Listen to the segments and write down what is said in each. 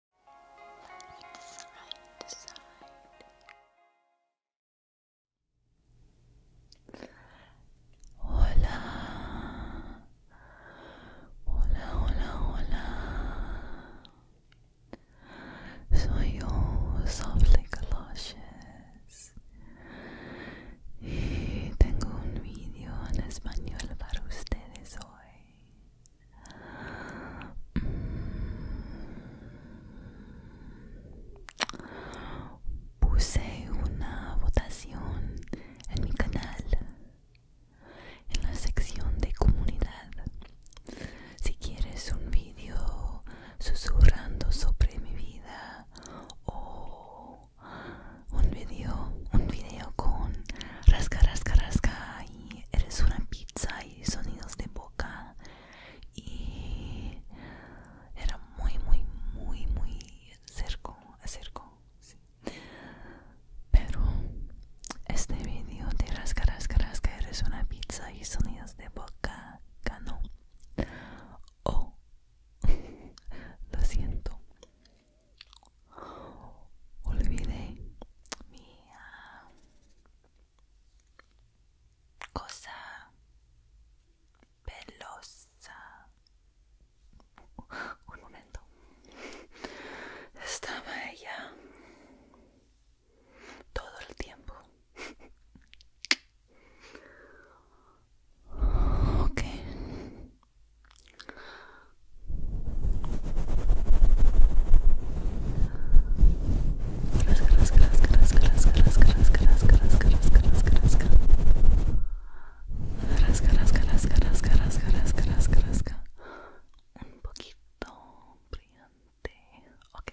Like side Hola. Hola, hola, hola. Soy yo, Softly Galoshes. Y tengo un vídeo en español para ustedes hoy. Puse una votación en mi canal, en la sección de comunidad. Si quieres un vídeo susurrando sobre mi vida o un vídeo un video con rasca rasca rasca eres una pizza y sonidos de boca y era muy muy muy muy cerco pero este vídeo de rasca rasca que eres una pizza y sonidos de boca ganó oh lo siento olvidé mi cosa pelosa. Un momento. Estaba ella todo el tiempo. Un poquito brillante. Ok.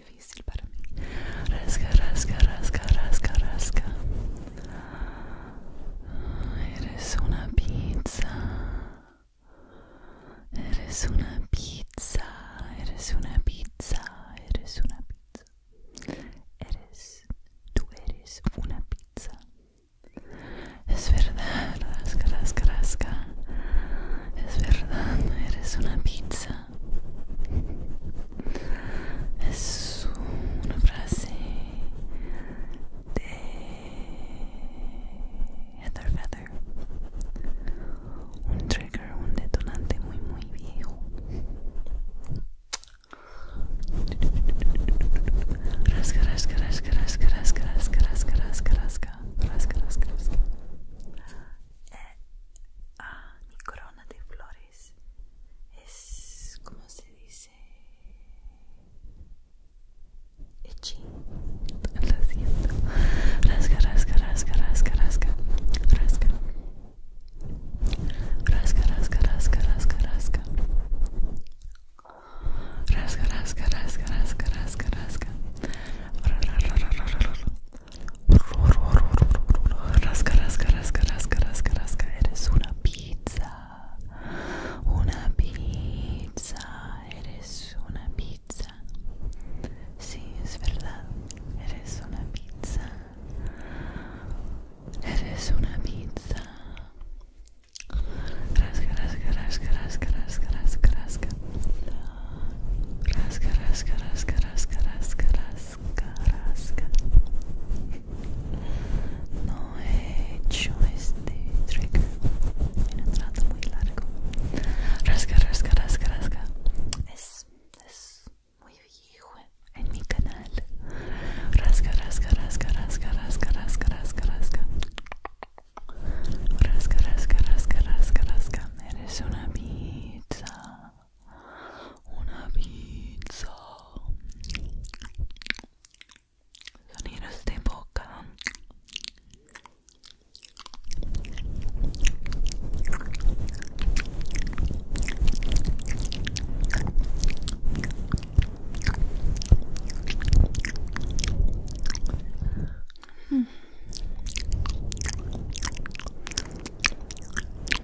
difícil para mí. raska rasca, rasca, rasca, rasca. Eres una pizza. Eres una pizza. Eres una pizza. Eres una pizza. Eres, tú eres una pizza. Es verdad, rasca, rasca, Es verdad, eres una pizza es una frase de Heather Feather un trigger, un detonante muy muy viejo rasca, rasca, rasca, rasca, rasca, rasca, rasca, rasca, rasca, rasca, rasca, rasca. mi corona de flores es como se dice echi lo siento rasca rasca rasca rasca rasca rasca rasca rasca rasca rasca rasca rasca rasca Rasca, rasca, rasca, rasca, rasca, rasca. Eres una pizza. Una pizza. Eres una pizza. Sí, es verdad. Eres una pizza. Eres una pizza. Rasca, rasca, rasca, rasca, rasca, rasca, rasca. Rasca, rasca, rasca, rasca, rasca, rasca rasca, No he hecho este trigger en un trato muy largo. Rasca, rasca, rasca, Es, muy viejo en mi canal. Rasca, rasca, rasca, rasca, rasca, rasca, rasca, rasca. Rasca, rasca, rasca, rasca, Eres una pizza una pizza sonidos de boca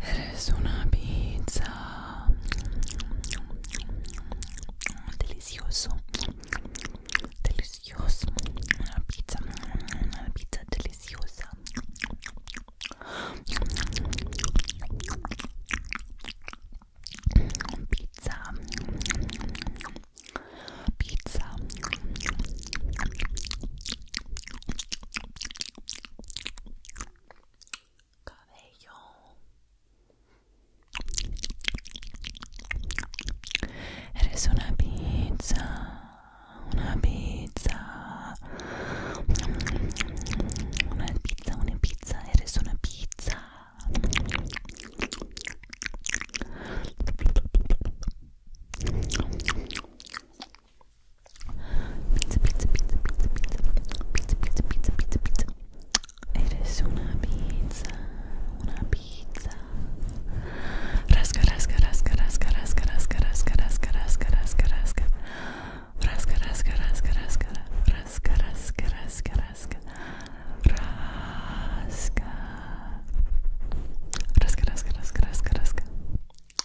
Eres una pizza. Delicioso. Delicioso. Una pizza. Una pizza deliciosa. Pizza. Pizza. cabello eres una pizza una pizza una pizza una pizza eres una pizza Pizza, pizza, pizza, pizza, pizza, pizza, pizza, pizza, pizza, pizza. Eres una pizza, una pizza. Rasca, rasca, rasca, rasca, rasca, rasca, rasca, rasca, rasca, rasca, rasca. Rasca, rasca, rasca, rasca, rasca, rasca, rasca, rasca. Rasca. Rasca, rasca, rasca, rasca, rasca.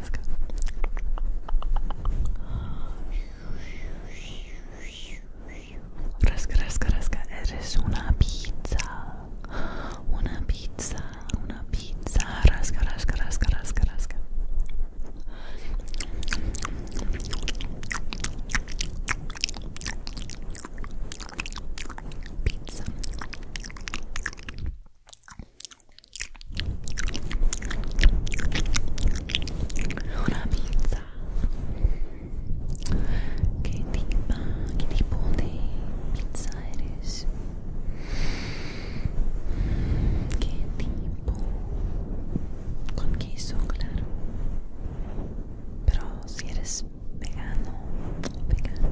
rasca. Rasca, rasca, Eres una pizza. Una pizza, una pizza. Rasca, rasca, rasca, rasca, rasca. Pizza una pizza ¿Qué, tipo, qué tipo de pizza eres qué tipo con queso claro pero si eres vegano vegano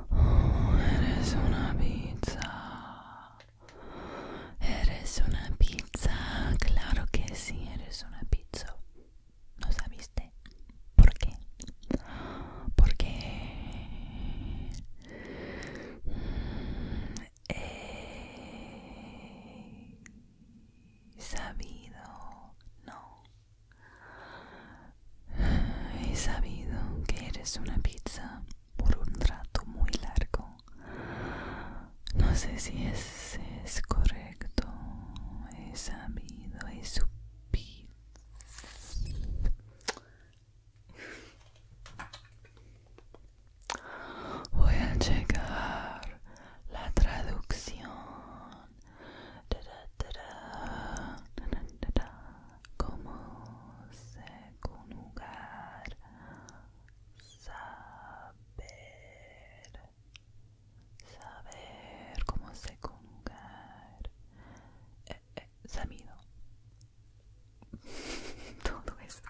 eres una pizza. Eres una pizza. Claro que sí, eres una pizza. ¿No sabiste? ¿Por qué? Porque qué mm, sabido, no, He sabido que eres una pizza por un rato muy largo. No sé si es, es correcto. He sabido, he pizza. Voy a checar la traducción cómo se conjugar saber saber cómo se conjugar eh, eh, sabido todo esto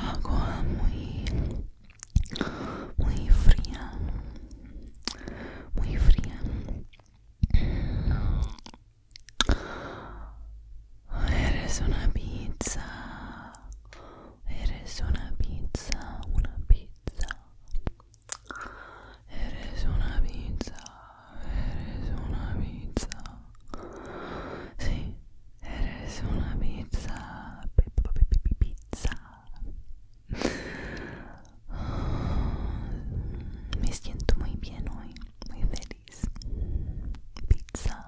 agua muy muy fría muy fría eres una pizza eres una pizza una pizza Eres una pizza, eres una pizza. Sí, eres una pizza. pizza. Me siento muy bien hoy, muy feliz. Pizza.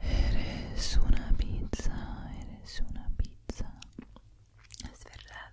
Eres una pizza, eres una pizza. Es verdad.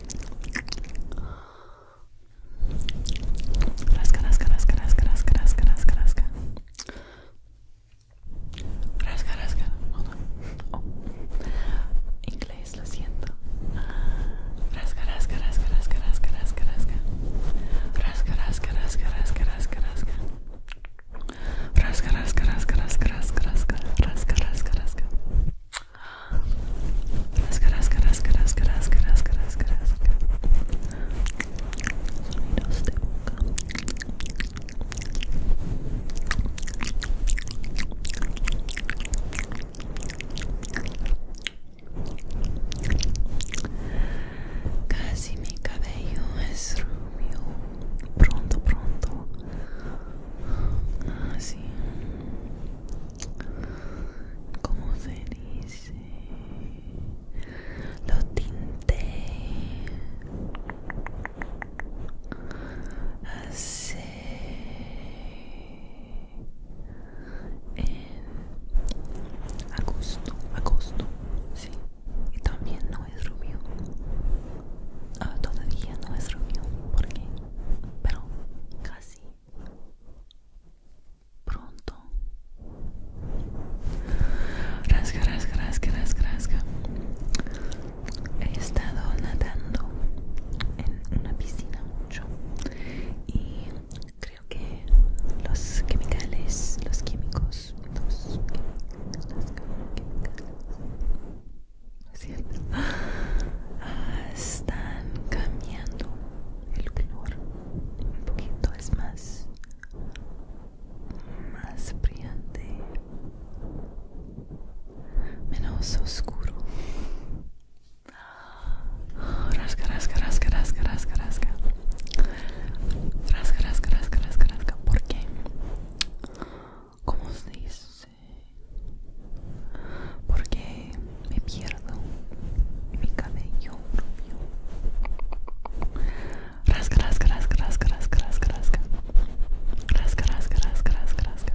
Rasca, rasca, rasca, Inglés, lo siento. Rasca, rasca, rasca, rasca, rasca, rasca, rasca, rasca. Sonidos de boca. Casi mi cabello es rubio. Pronto, pronto. Así. Ah, como se dice? lo tinte así en agosto, agosto, sí. Y también no es rubio. Ah, todavía no es rubio porque pero casi pronto. Rasca, rasca, rasca, rasca, He estado nadando en una piscina mucho y creo que los químicos, los los químicos, los químicos Ah, están cambiando el color un poquito es más más brillante menos oscuro rasca rasca rasca rasca rasca rasca rasca rasca rasca rasca rasca ¿por qué? ¿Cómo se dice? Porque me pierdo mi cabello propio. Rasca, rasca, rasca, rasca, rasca, rasca, rasca, Rasca, rasca, rasca, rasca, rasca.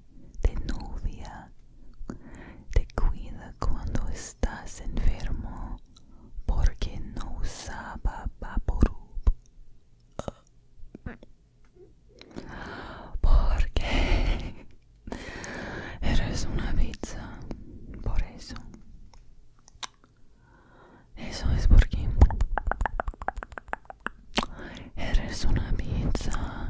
te novia te cuida cuando estás enfermo, porque no usaba por Porque eres una pizza, por eso. Eso es porque eres una pizza.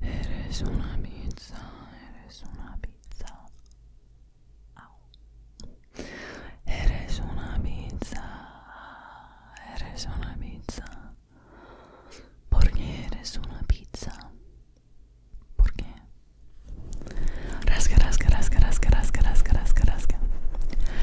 Eres una pizza, eres una pizza. Ow. Eres una pizza, eres una pizza. Porque eres una pizza. ¿Por qué? Rasca, rasca, rasca, rasca, rasca, rasca, rasca, rasca.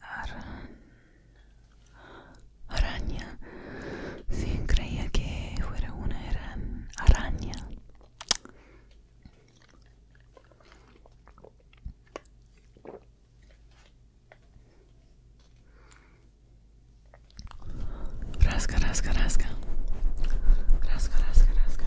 Ara... araña se creía que fuera una eran araña rasca rasca rasca rasca rasca rasca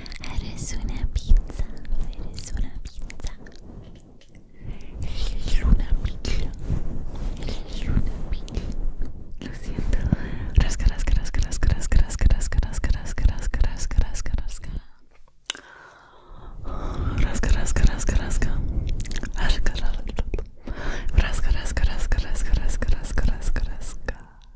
Eres una pizza, eres una pizza. Luna pizza, una pizza. Lo siento.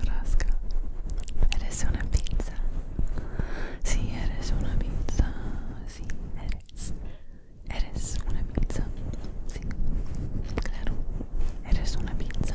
Rasca, Eres una pizza. Sí, eres una pizza. Si eres. Eres una pizza. Si claro. Eres una pizza.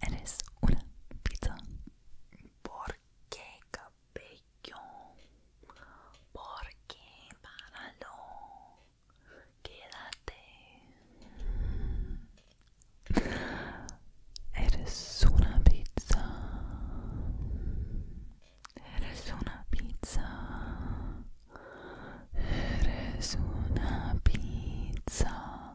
Eres una pizza. ¿Por qué cabello? ¿Por qué páralo? Quédate. Eres una pizza. Eres una pizza. Eres una pizza.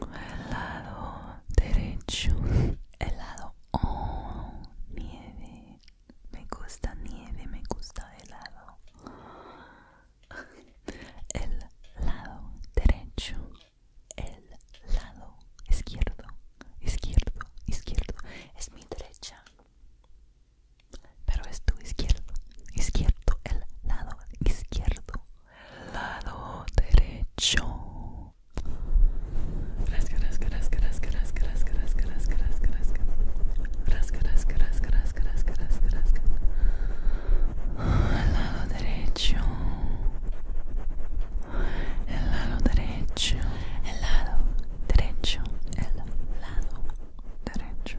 el lado derecho el lado oh nieve me gusta nieve me gusta helado el lado derecho el lado izquierdo izquierdo izquierdo es mi derecha pero es tu izquierdo izquierdo el lado izquierdo lado derecho. lado derecho. El lado derecho. El lado derecho. El lado derecho. El lado derecho.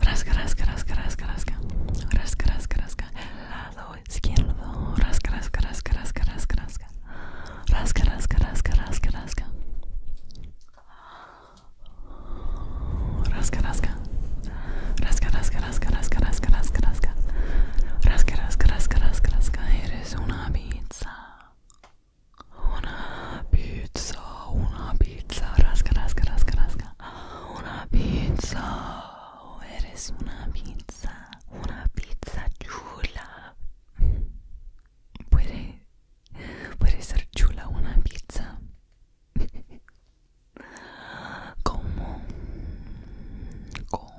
Rasca, rasca, rasca, rasca, Rasca, rasca, Eres una pizza. Una pizza, una pizza. Rasca, rasca, rasca, rasca. pizza. Una pizza. Oh, eres una pizza. Una pizza chula. Puede, puede ser chula una pizza. como, como.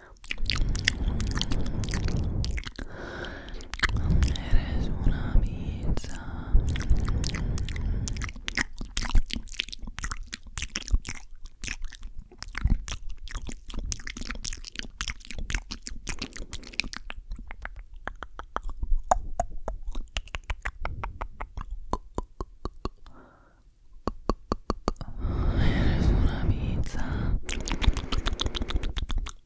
Eres una pizza. Eres una pizza.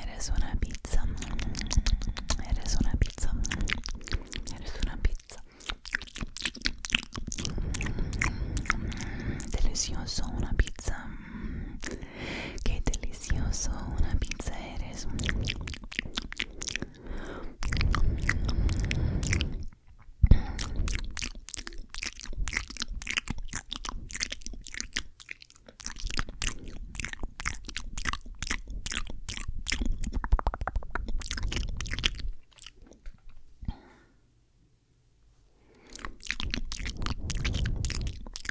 Eres una pizza, eres una pizza, eres una pizza. Delicioso, una pizza qué delicioso, una pizza eres.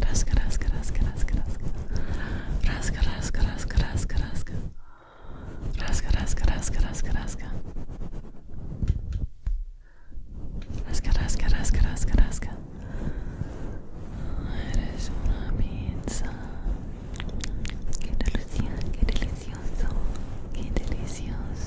Rasca, rasca, rasca, rasca, rasca. Rasca, rasca, rasca, rasca, Eres una Qué delicioso, qué delicioso, qué delicioso.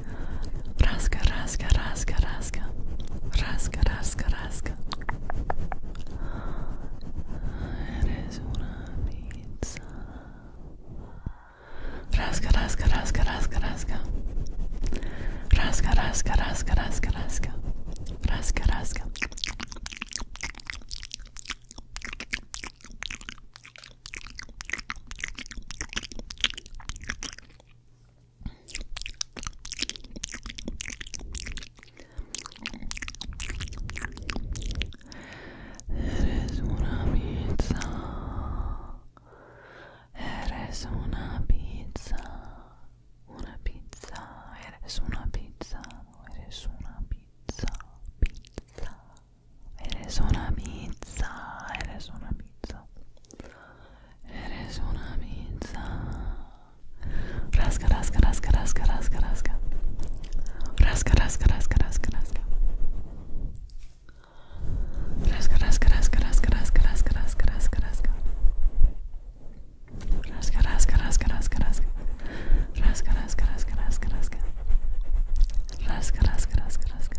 Raska, raska, raska, raska. Raska, raska, raska. Eres una pizza. Raska, raska, raska, raska, raska. Raska, raska, raska, raska, raska. Raska, raska. Eres una pizza. Eres una pizza. Una pizza. Eres una pizza. Eres una pizza. Pizza. Eres una pizza. Eres una pizza. Eres una pizza. Rasca, rasca, rasca, rasca, rasca, rasca. Rasca, rasca, rasca, rasca, rasca. Rasca, rasca, rasca, rasca, rasca, rasca, rasca, rasca, rasca. Rasca, rasca, rasca, rasca, rasca. Rasca, rasca, rasca, rasca, rasca. Rasca, rasca, rasca, rasca.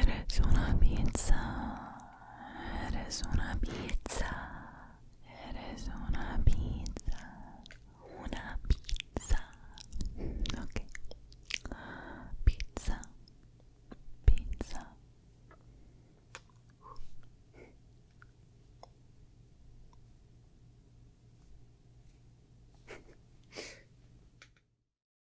Eres a pizza. Eres a pizza. It is una pizza. Una pizza. Ok. Pizza. Pizza.